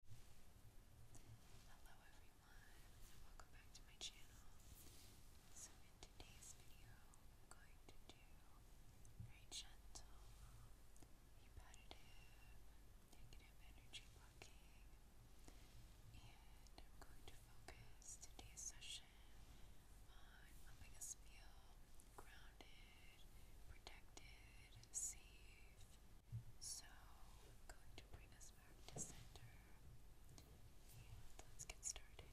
Hello everyone and welcome back to my channel. So in today's video I'm going to do very gentle, repetitive, negative energy blocking and I'm going to focus today's session on helping us feel grounded, protected, so going to bring us back to center. let's get started.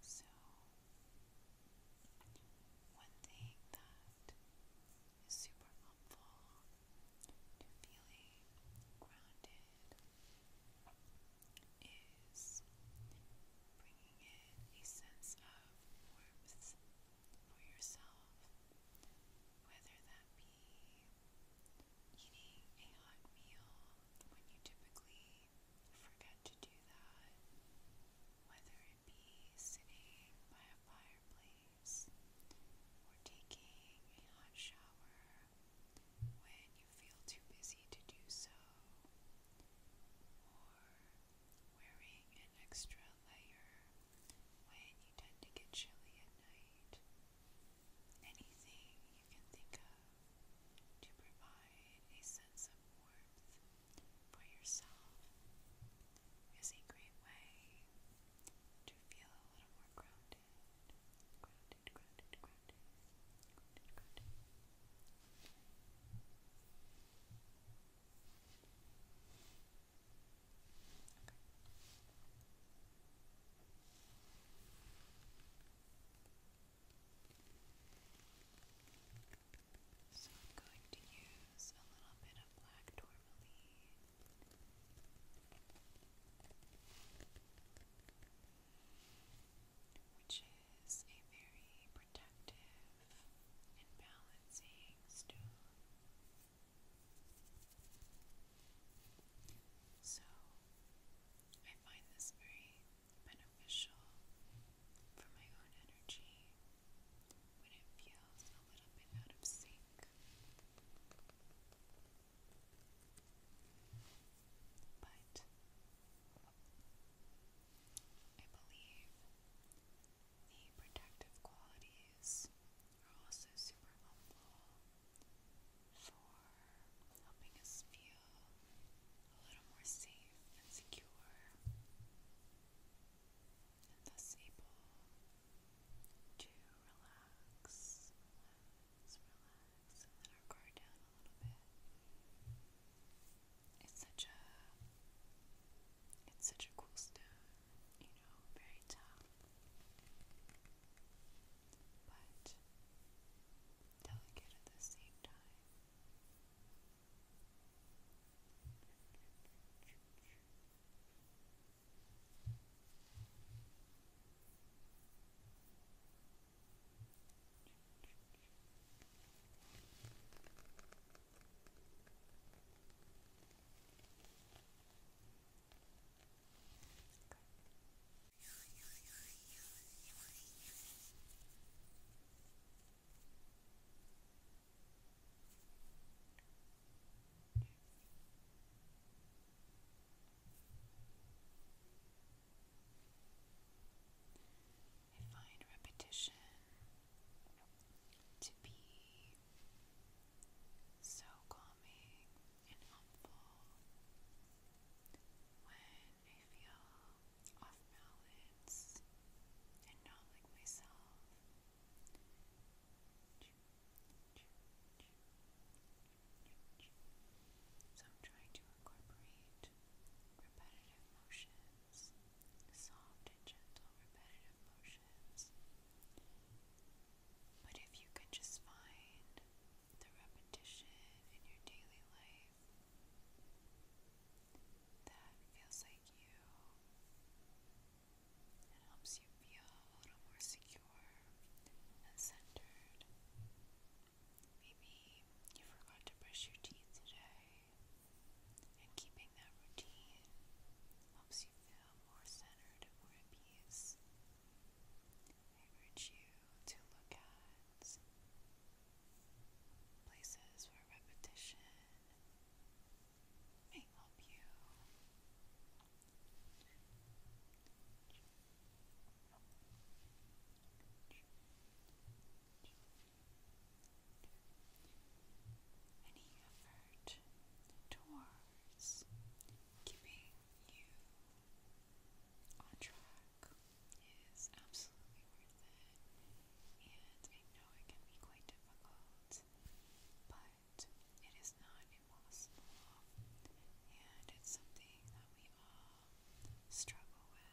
So, one thing that is super helpful to feeling grounded is bringing in a sense of warmth for yourself, whether that be eating a hot meal when you typically forget to do that, whether it be sitting by a fireplace or taking a hot shower when you feel too busy to do so, or wearing an extra layer when you tend to get chilly at night. Anything you can think of to provide a sense of warmth for yourself is a great way to feel a little more grounded. So I'm going to use a little bit of black tourmaline. Which is a very protective and balancing stone. So, I find this very beneficial for my own energy when it feels a little bit out of sync. But I believe the protective qualities are also super helpful for helping us feel a little more safe and secure, and thus able to relax, relax, relax, and let our guard down a little bit. It's such a it's such a cool stone you know, very tough. But delicate at the same time. I find repetition to be so calming and helpful when I feel off balance and not like myself. So I'm trying to incorporate repetitive motion soft and gentle repetitive motions. But if you could just find the repetition in your daily life that feels like you and helps you feel a little more secure and centered. Maybe you forgot to brush your teeth today. And keeping that routine helps you feel more centered and more at peace. I urge you to look at places where repetition may help you. Thank you any effort towards keeping you on track is absolutely worth it, and I know it can be quite difficult, but it is not impossible, and it's something that we all struggle with.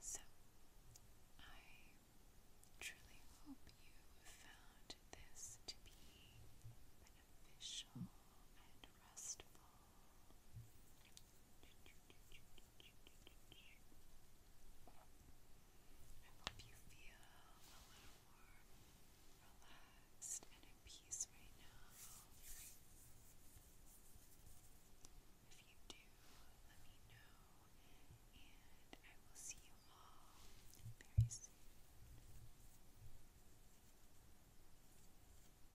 so, I truly hope you found this to be beneficial and restful hope you feel a little more relaxed and at peace right now. If you do, let me know, and I will see you all very soon.